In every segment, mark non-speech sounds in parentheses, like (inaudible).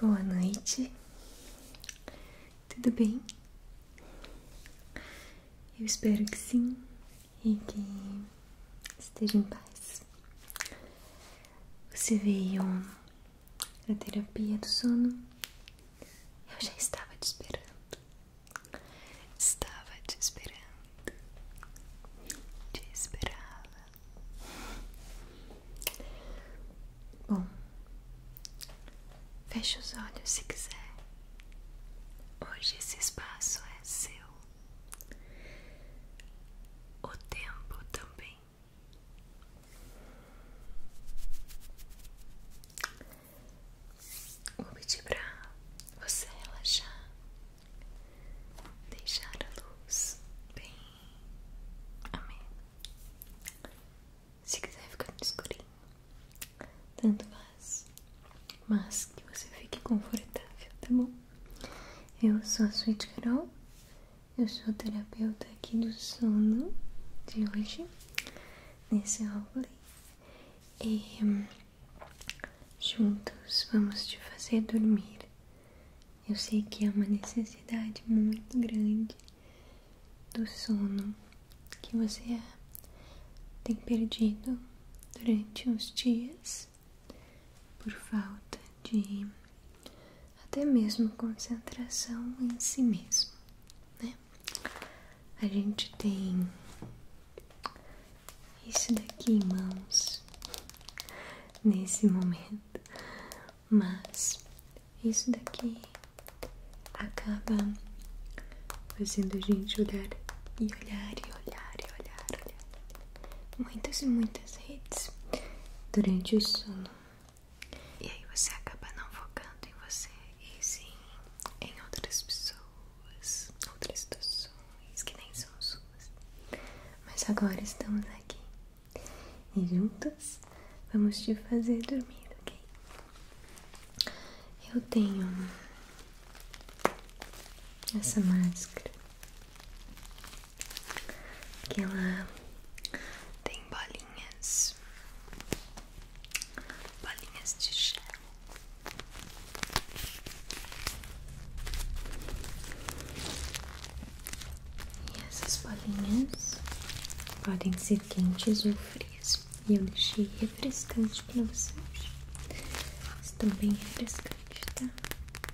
Boa noite, tudo bem? Eu espero que sim e que esteja em paz. Você veio na terapia do sono. Eu já estava te esperando. Estava te esperando. Te esperava. Bom, feche os olhos se quiser. Hoje esse espaço é seu. O tempo também. Vou pedir pra você relaxar, deixar a luz bem. Amém. Se quiser ficar no escurinho, tanto faz, mas que você fique confortável, tá bom? Eu sou a Sweet Carol, eu sou terapeuta aqui do sono de hoje, nesse roleplay. E hum, juntos vamos te fazer dormir. Eu sei que é uma necessidade muito grande do sono que você tem perdido durante uns dias por falta de até mesmo concentração em si mesmo, né? A gente tem isso daqui em mãos nesse momento, mas isso daqui acaba fazendo a gente olhar e olhar e olhar e olhar, olhar muitas e muitas redes durante o sono. E aí você acaba não focando em você e sim em outras pessoas, outras situações que nem são suas. Mas agora estamos aqui e juntas vamos te fazer dormir, ok? Eu tenho essa máscara que ela tem bolinhas, bolinhas de gel. E essas bolinhas podem ser quentes ou frias. E eu achei refrescante para vocês. Estão bem é refrescantes, tá?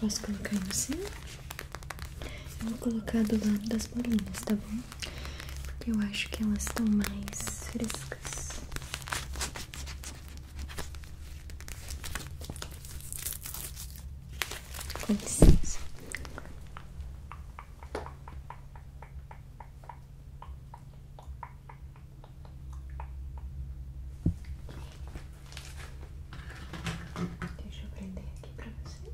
Posso colocar em você? Eu vou colocar do lado das bolinhas, tá bom? Porque eu acho que elas estão mais frescas. Com licença. Deixa eu prender aqui para você.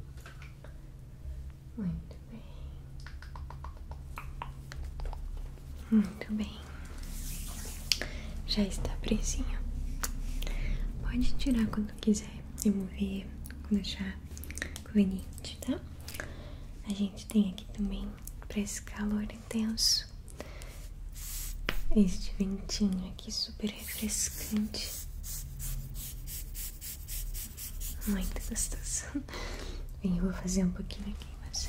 Muito bem. Muito bem. Já está presinho. Pode tirar quando quiser remover quando achar conveniente, tá? A gente tem aqui também para esse calor intenso este ventinho aqui super refrescante, muito gostoso. (laughs) Bem, eu vou fazer um pouquinho aqui, mas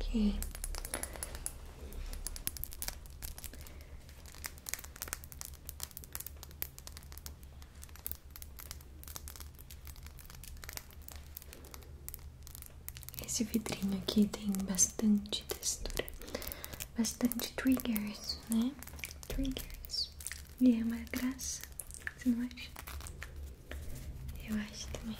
Ok. Esse vidrinho aqui tem bastante textura, bastante triggers, né? Triggers. E é uma graça. Você não acha? Eu acho também.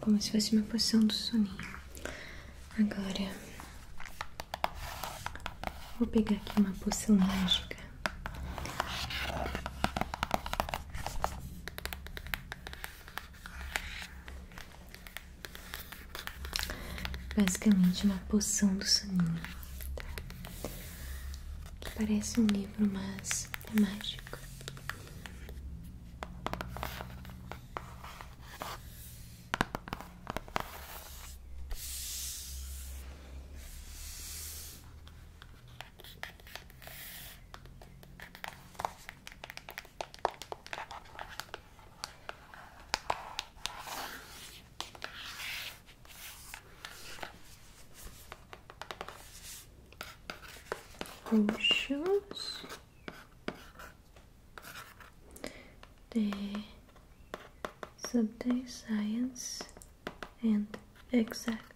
Como se fosse uma poção do soninho. Agora vou pegar aqui uma poção mágica. Basicamente uma poção do soninho, tá? que parece um livro, mas é mágico. Potions the subject science and exact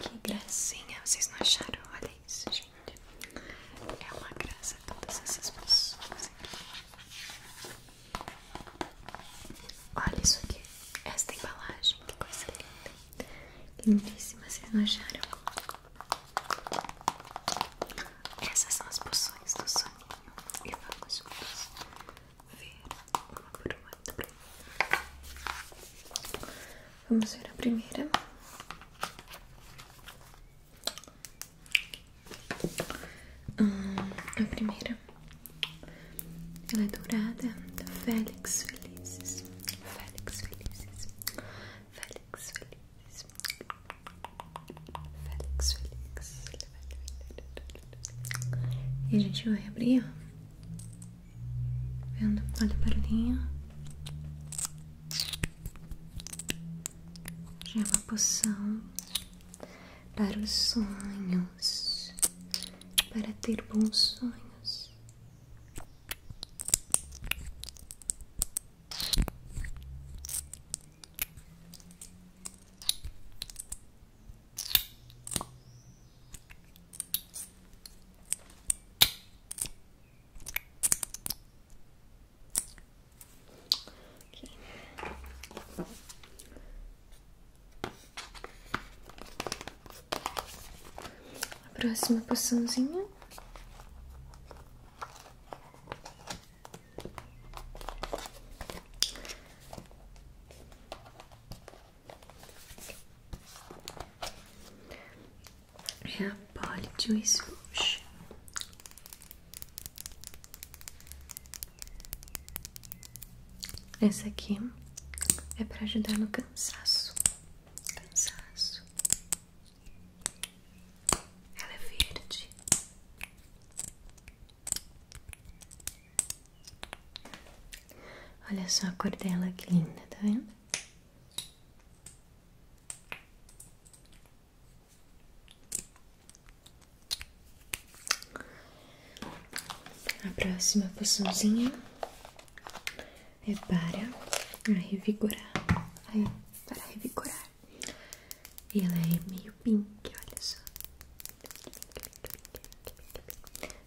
Que gracinha, vocês não acharam? Olha isso, gente. É uma graça todas essas pessoas Olha isso aqui. Esta embalagem, que coisa linda. Lindíssima, vocês não acharam? Essas são as poções do soninho. E vamos ver uma por uma. Vamos ver a primeira. Hum, a primeira. Ela é dourada da Félix Felizes. Félix Felizes. Félix Felizes. Félix Felizes. E a gente vai abrir, ó. Vendo? Olha o Já é uma poção para os sonhos, para ter bons sonhos próxima poçãozinha. É a Poly Juice Rouge. Essa aqui é para ajudar no cansaço. Cansaço. Ela é verde. Olha só a cor dela, que linda, tá vendo? A próxima poçãozinha é para revigorar. Aí, para revigorar. E ela é meio pink, olha só.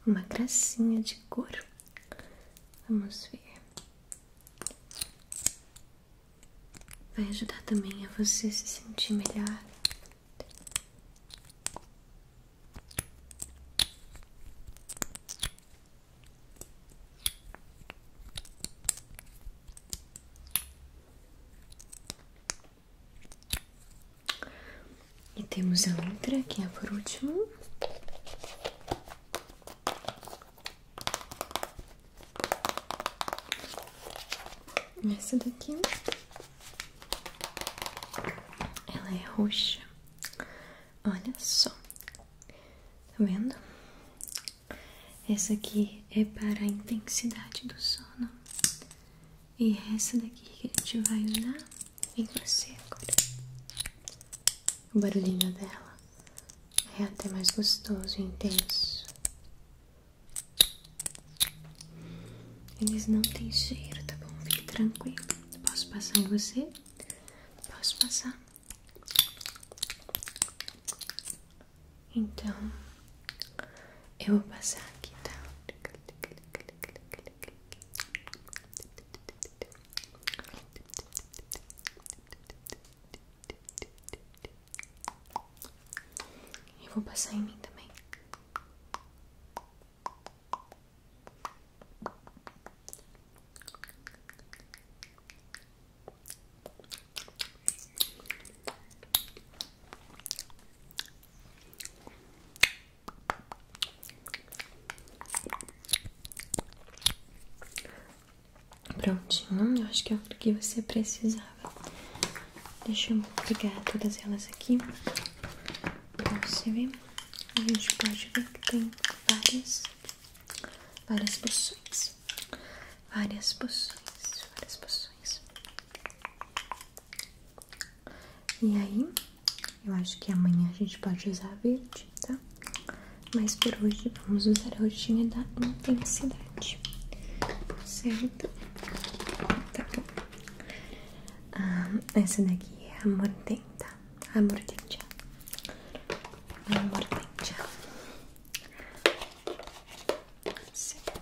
Uma gracinha de cor. Vamos ver. Vai ajudar também a você se sentir melhor. E temos a outra que é por último. Essa daqui ela é roxa. Olha só, tá vendo? Essa aqui é para a intensidade do sono. E essa daqui que a gente vai usar em você agora. O barulhinho dela é até mais gostoso e intenso. Eles não têm cheiro, tá bom? Fique tranquilo. Posso passar em você? Posso passar? Então, eu vou passar aqui, tá? Eu vou passar em mim também. Prontinho, eu acho que é o que você precisava. Deixa eu pegar todas elas aqui pra você vê A gente pode ver que tem várias, várias poções. Várias poções, várias poções. E aí, eu acho que amanhã a gente pode usar verde, tá? Mas por hoje, vamos usar a roxinha da intensidade, certo? Tá bom. Ah, essa daqui é a tá? a mordenta, a mordenta, certo?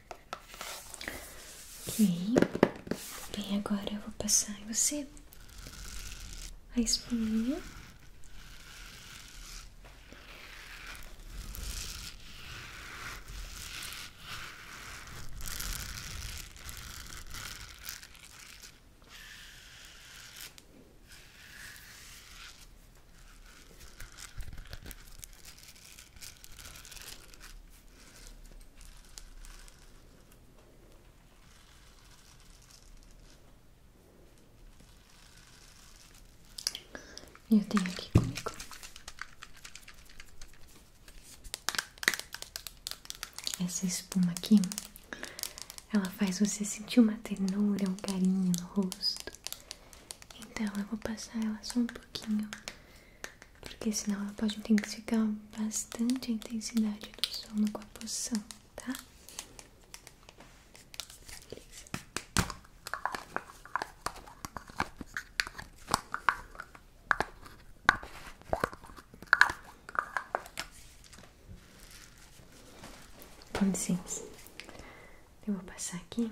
Ok. Bem, agora eu vou passar em você a espuminha. Eu tenho aqui comigo essa espuma aqui. Ela faz você sentir uma ternura, um carinho no rosto. Então eu vou passar ela só um pouquinho porque senão ela pode intensificar bastante a intensidade do sono com a posição, tá? Beleza. Com licença, eu vou passar aqui.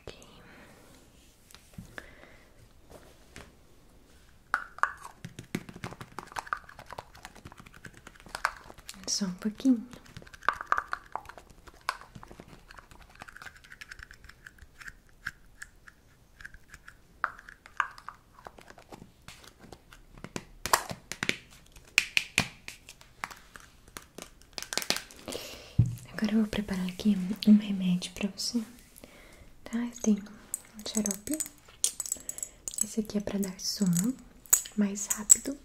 Okay. Só um pouquinho. Agora eu vou preparar aqui um remédio para você, tá? Eu tenho um xarope, esse aqui é para dar sono mais rápido.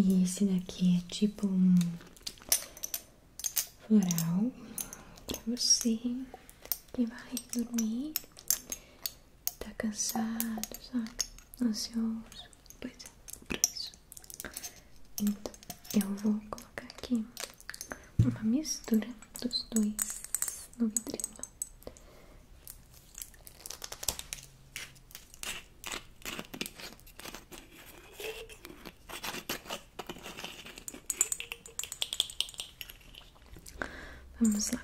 E esse daqui é tipo um floral pra você que vai dormir, tá cansado, sabe? Ansioso. Pois é, por isso. Então, eu vou colocar aqui uma mistura dos dois no vidrinho. Tá. Vamos lá.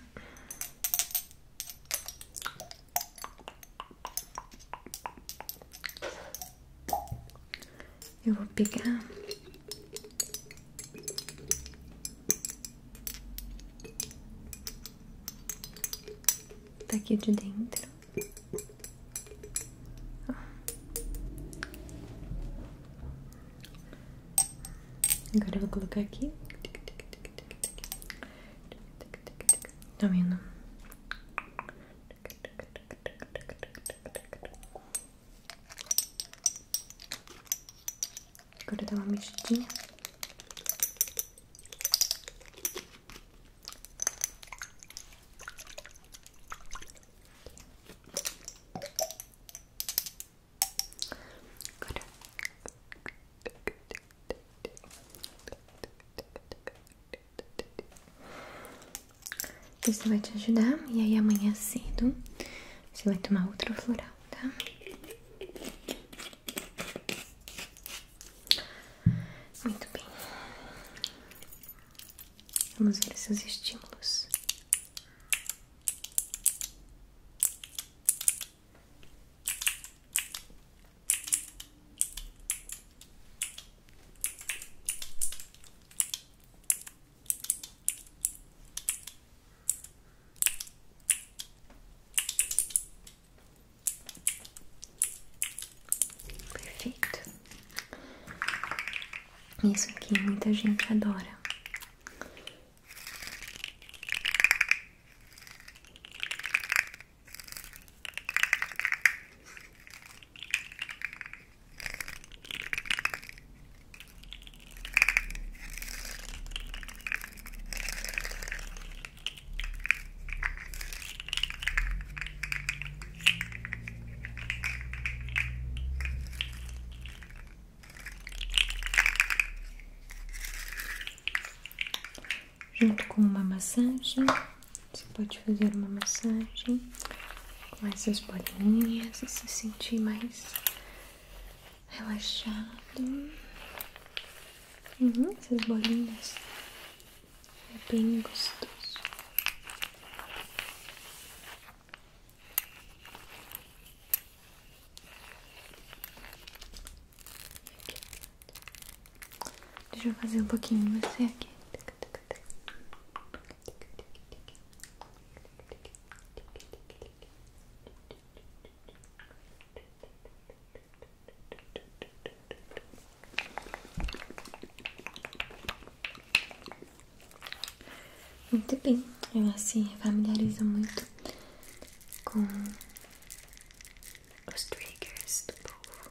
Eu vou pegar tá aqui de dentro. Agora vou colocar aqui. Tá vendo? Agora dá uma mexidinha. Isso vai te ajudar. E aí amanhã cedo você vai tomar outro floral tá? Muito bem. Vamos ver esses estímulos. Perfeito. Isso aqui muita gente adora. Junto com uma massagem, você pode fazer uma massagem com essas bolinhas e se sentir mais relaxado. Uhum, essas bolinhas é bem gostoso. Deixa eu fazer um pouquinho você aqui. Muito bem, ela assim, se familiariza muito com os triggers do povo.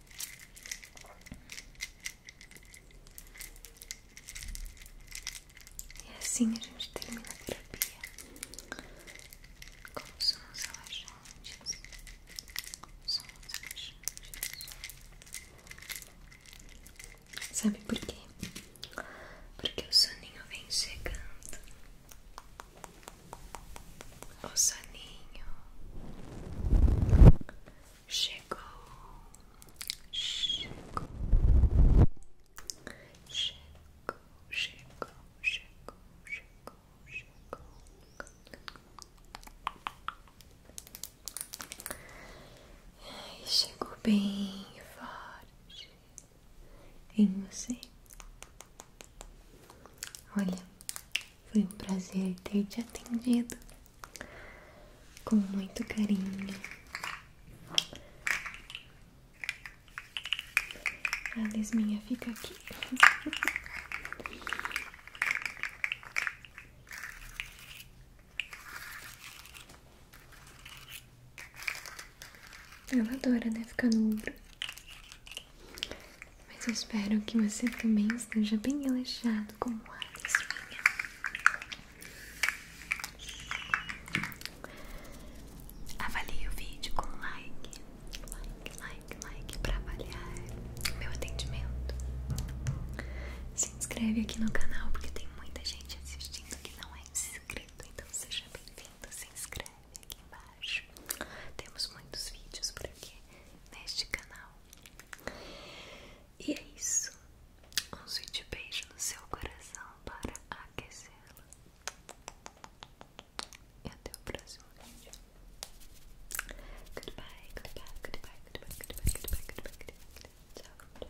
E assim a gente termina a terapia. Como somos relaxantes. Somos relaxantes. Sabe por quê? Porque o soninho vem chegando. O soninho Chegou, chegou, chegou, chegou, chegou, chegou, chegou. Ai, chegou bem forte em você. Olha, foi um prazer ter te atendido com muito carinho. A lesminha fica aqui. Ela adora, né? Ficar no ombro. Mas eu espero que você também esteja bem relaxado, com como a espinha. Avalie o vídeo com like, like, like, like para avaliar o meu atendimento. Se inscreve aqui no canal porque tem muita gente assistindo que não é inscrito, então seja bem-vindo, se inscreve aqui embaixo. Temos muitos vídeos por aqui neste canal. E é isso. Um sweet beijo no seu coração para aquecê-lo. E até o próximo vídeo. Goodbye, goodbye, goodbye, goodbye, goodbye, goodbye, goodbye, goodbye. Tchau.